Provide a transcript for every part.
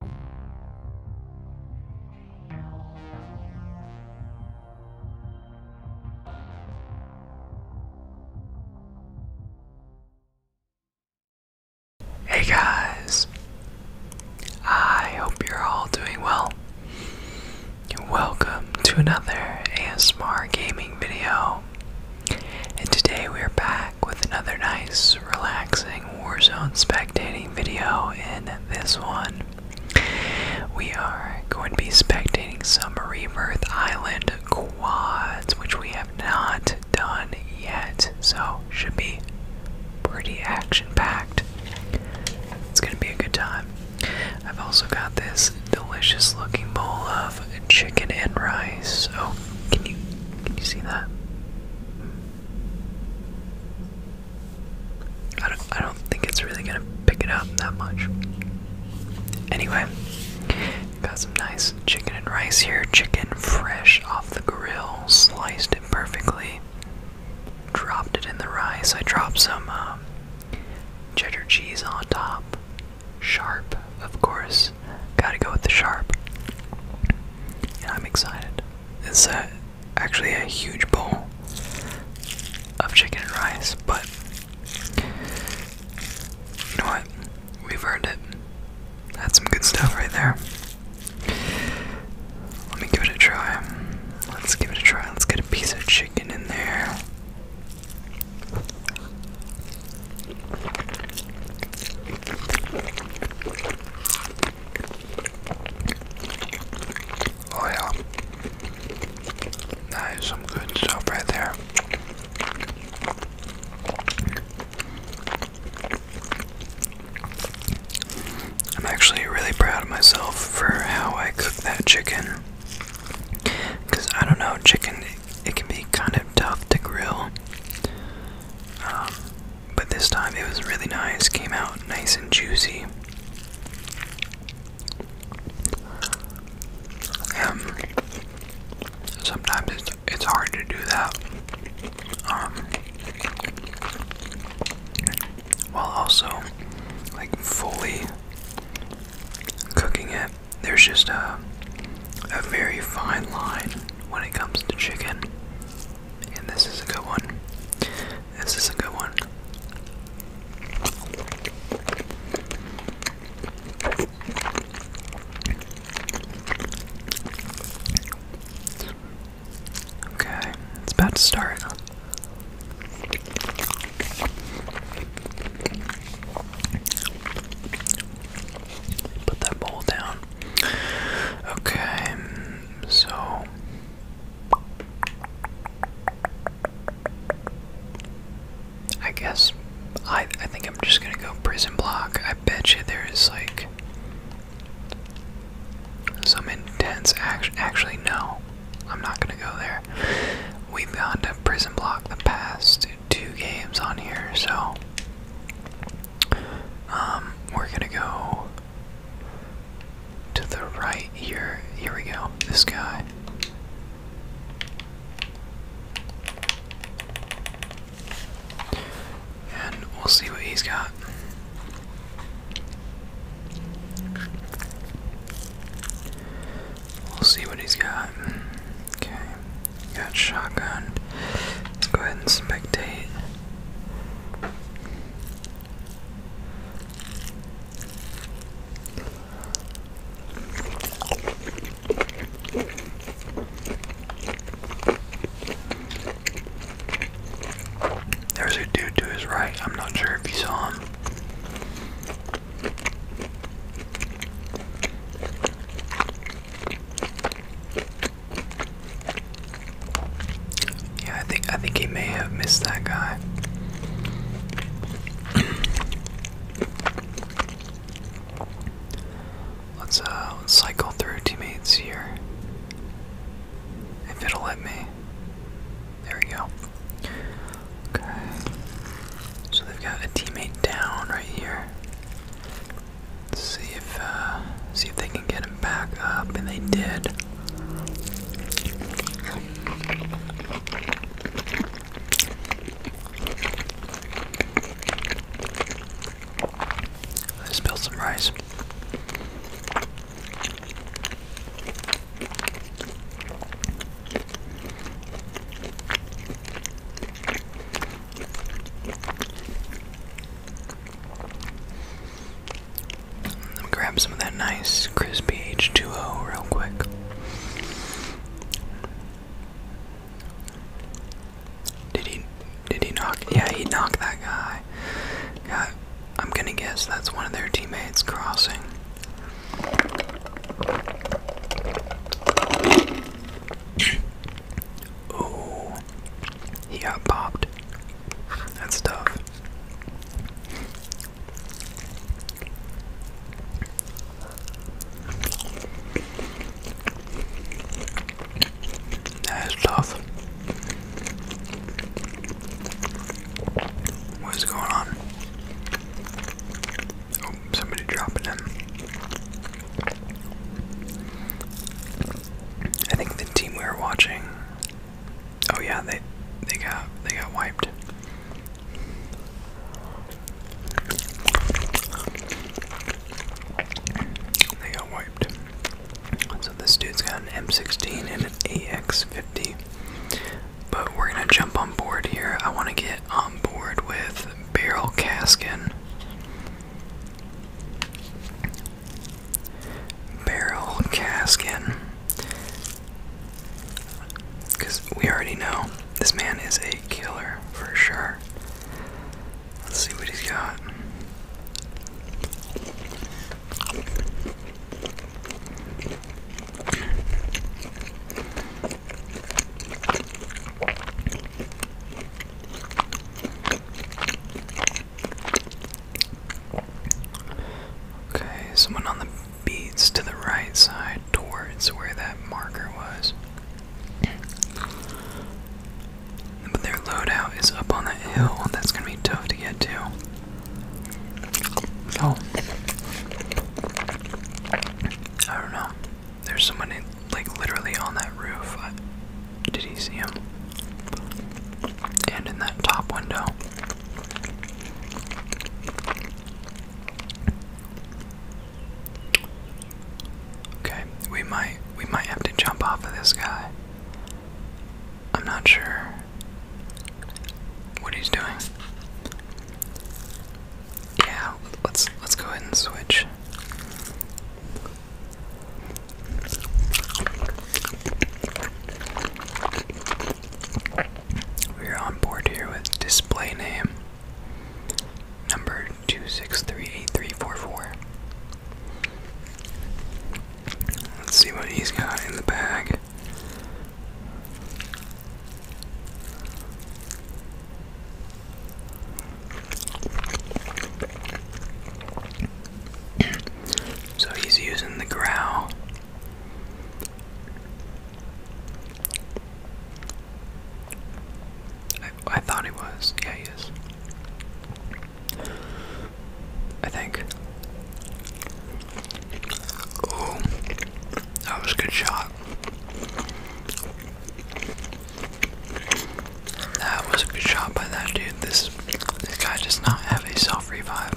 Hey guys, I hope you're all doing well. Welcome to another ASMR gaming video, and today we are back with another nice, relaxing Warzone spectating video. In this one, we are going to be spectating some Rebirth Island quads, which we have not done yet, so should be pretty action packed. It's gonna be a good time. I've also got this delicious looking bowl of chicken and rice. Oh, can you can you see that? I don't, I don't think it's really gonna pick it up that much. Anyway, got some nice chicken and rice here. Chicken fresh off the grill, sliced it perfectly. Dropped it in the rice. I dropped some um, cheddar cheese on top. Sharp, of course. Gotta go with the sharp. And I'm excited. It's a, actually a huge bowl of chicken and rice, but you know what? We've earned it. That's some good stuff right there. Let me give it a try. Let's give it a try. Let's get a piece of chicken in there. Oh yeah. some good stuff right there. I'm actually really proud of myself for how I cook that chicken. Because I don't know, chicken, it, can be kind of tough to grill. Um, but this time it was really nice, came out nice and juicy. Um, sometimes it's, it's hard to do that um, while also like fully cooking it. There's just a, a very fine line when it comes to chicken. And this is a good one. This is a good one. Okay, it's about to start. Put that bowl down. Okay, so I guess I I think I'm just gonna go prison block. I bet you there is like some intense action. Actually, no, I'm not gonna go there. We've gone to prison block the past two games on here, so um, we're gonna go to the right here. Here we go. This guy. And we'll see what he's got. We'll see what he's got. Okay, got shotgun. Let's go ahead and spectate. There's a dude to his right. I'm not sure if you saw him. Yeah, I think I think he may have missed that guy. Uh, let's cycle through teammates here. If it'll let me. There we go. Okay. So they've got a teammate down right here see if uh, see if they can get him back up, and they did. I spilled some rice. Let me grab some of that nice crispy H2O real quick. Did he did he knock yeah he knocked that guy. Yeah, I'm gonna guess that's one of their teammates crossing. Oh he got popped. That's tough. That is tough. What is going on? Oh, somebody dropping in. I think the team we were watching. Oh yeah, they they got they got wiped. They got wiped. So this dude's got an M16 and an AX50. But we're gonna jump on board here. I want to get on board with Barrel Caskin. Barrel Caskin. Because we already know this man is a killer for sure. Let's see what he's got. Okay, someone on the beads to the right side towards where that marker was. But their loadout is up on that hill, that's gonna be tough to get to. So, oh. I don't know. There's someone in, like literally on that roof. did he see him? And in that top window. Okay, we might we might have to jump off of this guy. I'm not sure what he's doing. Yeah, let's let's go ahead and switch. We're on board here with display name number 2638344. Let's see what he's got in the bag. so he's using the growl. I, I thought he was. Yeah, he is. I think. Oh, that was a good shot. That was a good shot by that dude. This this guy does not have a self revive.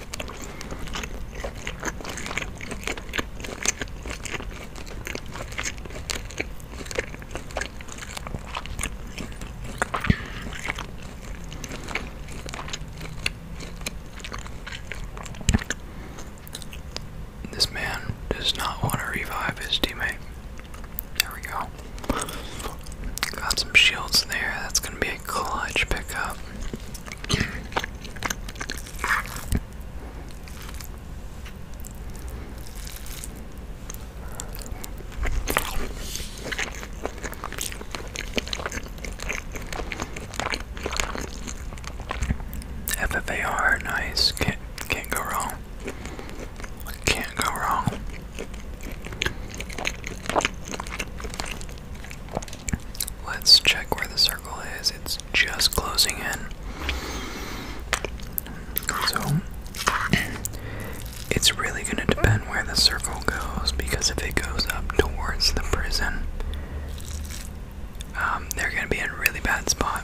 This man does not want to revive his teammate. There we go. Got some shields there. That's going to be a clutch pickup. FFAR, nice. Can't can't go wrong. Can't go wrong. Let's check where the circle is. It's just closing in. So, it's really going to depend where the circle goes because if it goes up towards the prison, um, they're going to be in really bad spot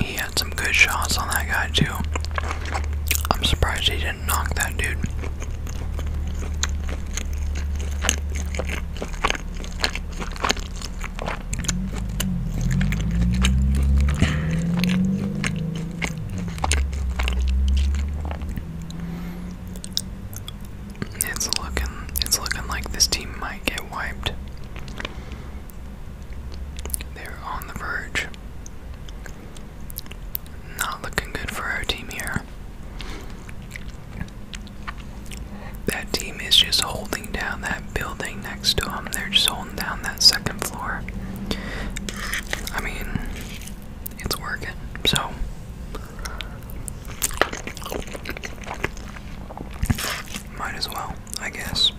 he had some good shots on that guy, too. I'm surprised he didn't knock that dude. It's looking it's looking like this team might get wiped. They're on the verge. Not looking good for our team here. That team is just holding down that building next to them. They're just holding down that second floor. I mean, it's working. So might as well, I guess.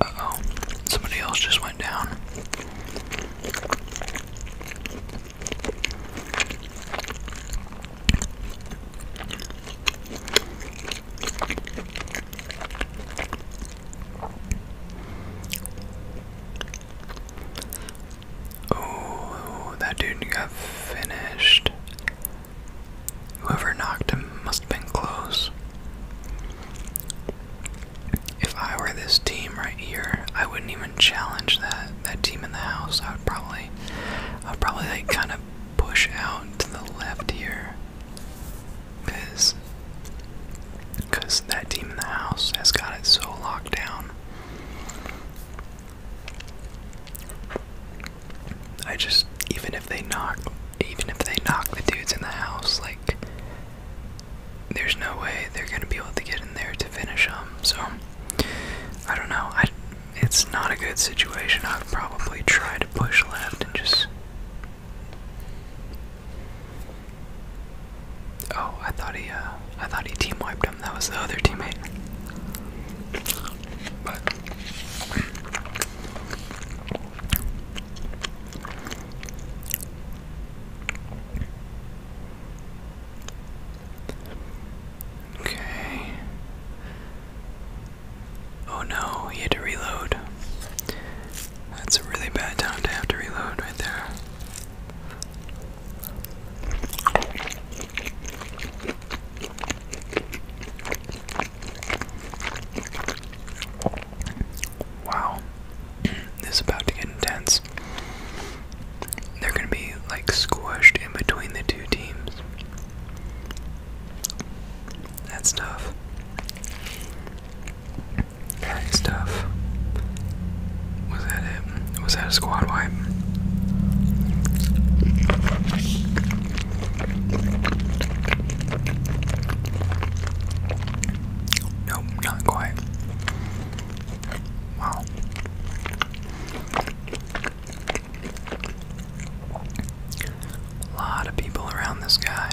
Uh oh, somebody else just went down. Oh, that dude got finished. Whoever knocked him must have been close. If I were this team right here, I wouldn't even challenge that that team in the house. I would probably I would probably like kind of push out to the left here. Cause because that team in the house has got it so locked down. I just even if they knock even if they knock the dudes in the house, like there's no way they're gonna be able to get in there to finish them. So I don't know. I it's not a good situation. I'd probably try to push left and just. Oh, I thought he, uh, I thought he team wiped him. That was the other teammate. But Okay. Oh no, he had to reload. That's a really bad time to have to reload right there. Wow. this is about to get intense. They're going to be like squished in between the two teams. That's tough. That's tough. Was that it? Was that a squad wipe? Nope, not quite. Wow. A lot of people around this guy.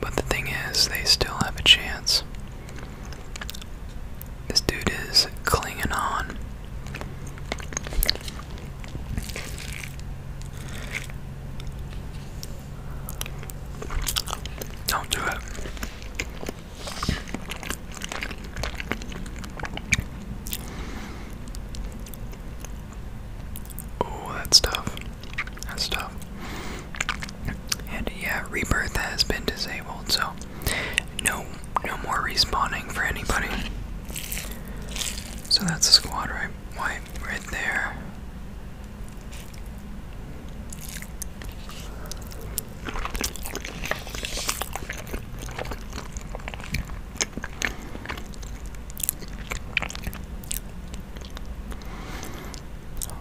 but the thing is, they still have a chance. This dude is clinging on. Don't do it. Oh, that's tough. That's tough. And yeah, Rebirth has been disabled, so no, no more respawning for anybody. So that's a squad right, right, there.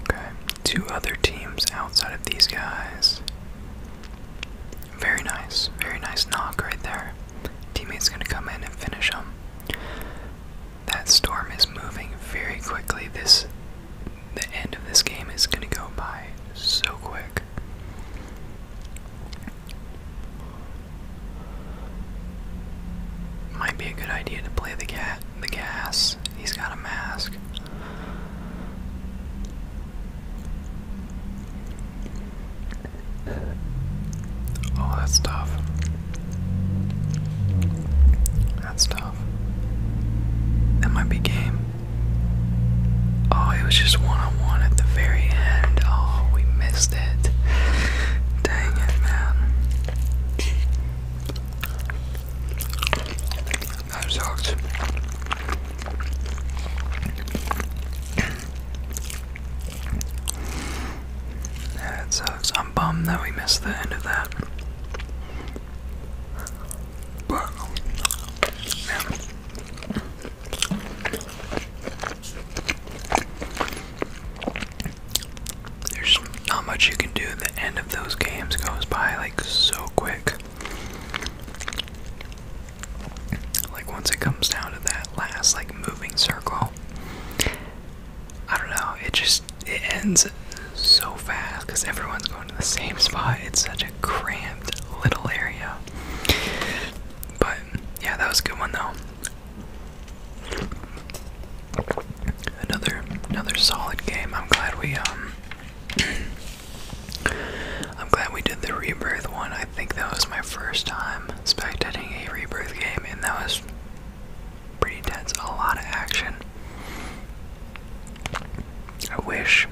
Okay, two other teams outside of these guys. Very nice, very nice knock right there. Teammate's gonna come in and finish him. That storm is moving very quickly. This the end of this game is gonna go by so quick. Might be a good idea to play the cat the gas. He's got a mask. Oh, that's tough. That's tough. That might be game. Oh, it was just one on one at the very end. Oh, we missed it. Dang it, man. That sucked. Yeah, it sucks. I'm bummed that we missed the end of that. But, There's not much you can do. The end of those games goes by like so quick. Like once it comes down to that last like moving circle, I don't know. It just it ends so fast because everyone's going to the same spot. It's such a cramped little area. But yeah, that was a good one though. Another another solid game. I'm glad we um I'm glad we did the rebirth one. I think that was my first time spectating a rebirth game, and that was pretty intense. A lot of action. I wish.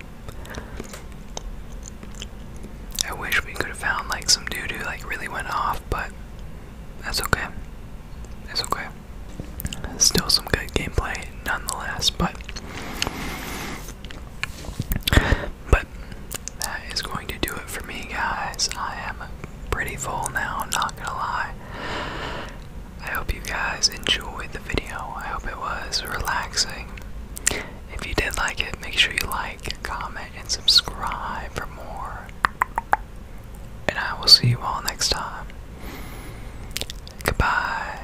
I wish we could have found like some doo doo like really went off, but that's okay. That's okay. Still some good gameplay nonetheless, but but that is going to do it for me, guys. I am pretty full now, not gonna lie. I hope you guys enjoyed the video. I hope it was relaxing. If you did like it, make sure you like, comment, and subscribe for more. And I will see you all next time. Goodbye.